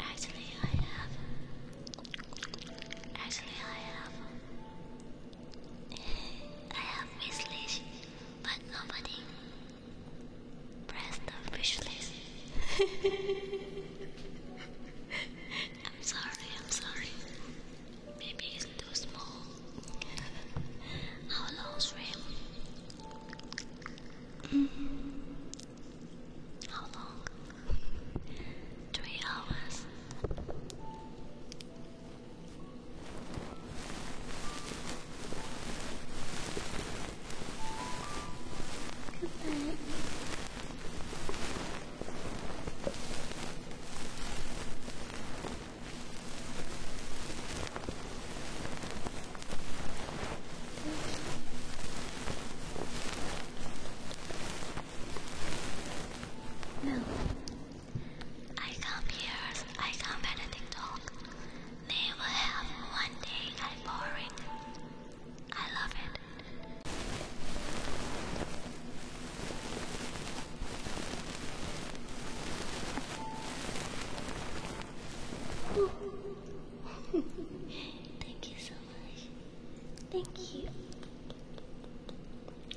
Actually, I have. Actually, I have. I have Miss Lish, but nobody Press the wish list. I'm sorry, I'm sorry. Maybe it's too small. How long stream? -hmm. How long? Three hours. Goodbye. Now, I come here, I come at a TikTok. Never have one day I am boring. I love it. Thank you so much. Thank you.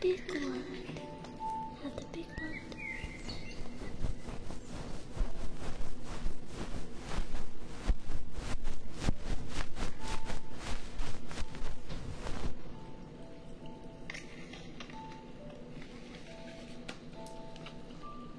Big one. Not the big one.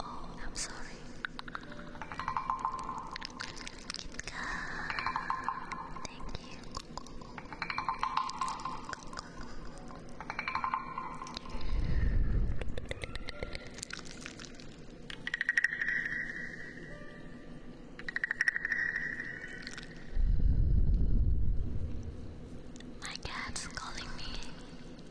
Oh, I'm sorry. thank you. My cat's calling me.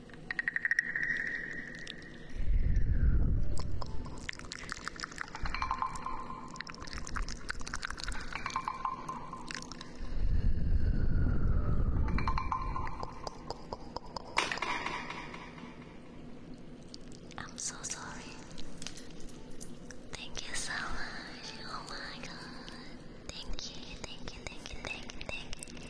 I'm so sorry. Thank you so much. Oh my god. Thank you, thank you, thank you, thank you, thank you.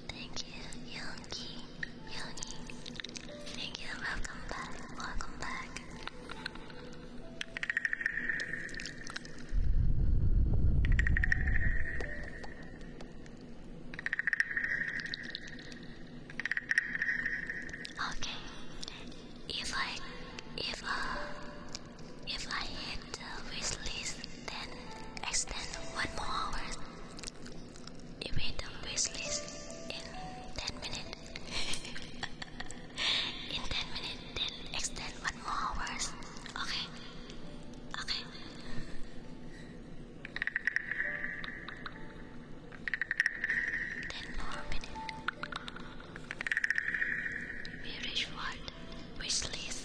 Thank you, Yogi. Yogi. Thank you. Welcome back. Welcome back. Okay. If I if uh if I hit the then extend one more hour you the wish list in 10 minutes. in 10 minutes, then extend one more hours. Okay. Okay. Ten more minutes. We reach what? Wish list.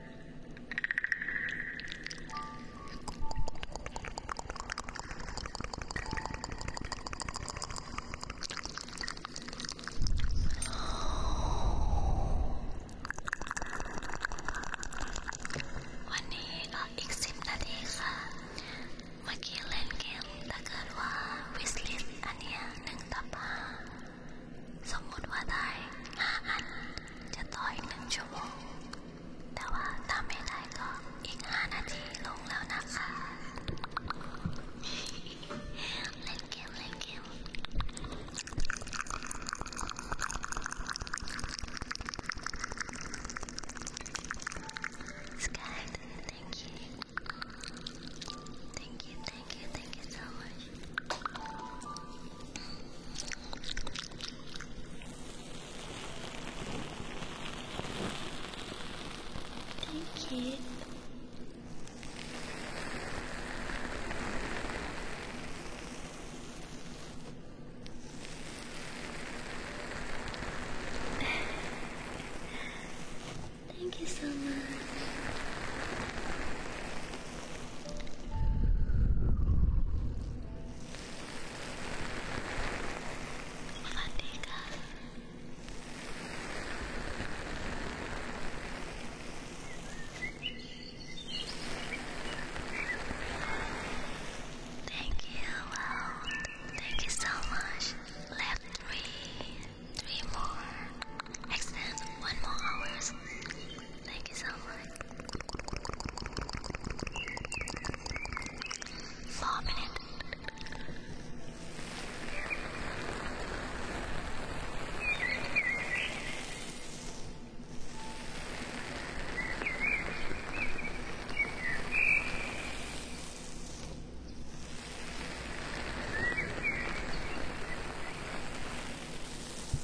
วันนี้ก็อีกสิบนาทีค่ะเมื่อกี้เล่นเกมถ้าเกิดว่าวิสลิสอันเนี้ยหนึ่งต่อห้าสมมติว่าได้ห้าอันจะต่ออีกหนึ่งชั่วโมงแต่ว่าถ้าไม่ได้ก็อีกห้านาทีลงแล้วนะคะ เล่นเกมเล่นเกมสกาย thank you thank you thank you thank you so much Thank you. Thank you so much. Fatiga. Thank you, Thank you so much. Left three, three more. Extend one more hours. Thank you so much. Four minutes.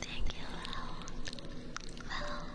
Thank you, Raul. Raul.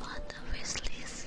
What a wishlist.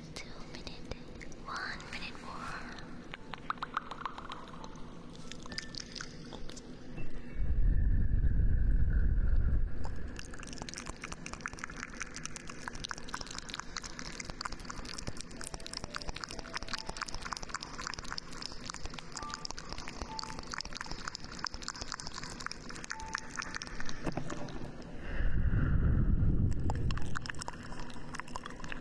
two minutes, one minute more.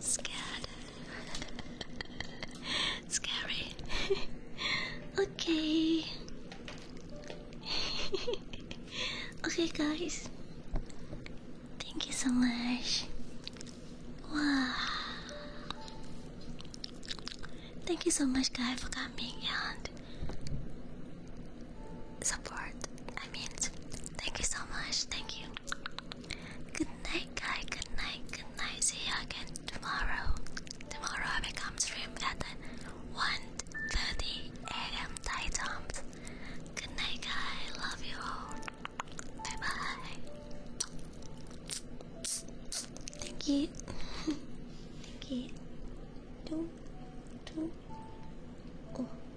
Scared. Scary. okay. okay, guys. Thank you so much. Wow. Thank you so much, guys, for coming and support I meant. Thank you so much. Thank you. Good night, guy. Good night. Good night. See you again tomorrow. Tomorrow I will come stream at 1:30 a.m. Thai time. Good night, guy. I Love you all. Bye bye. Thank you. Thank you. Two, two. Oh.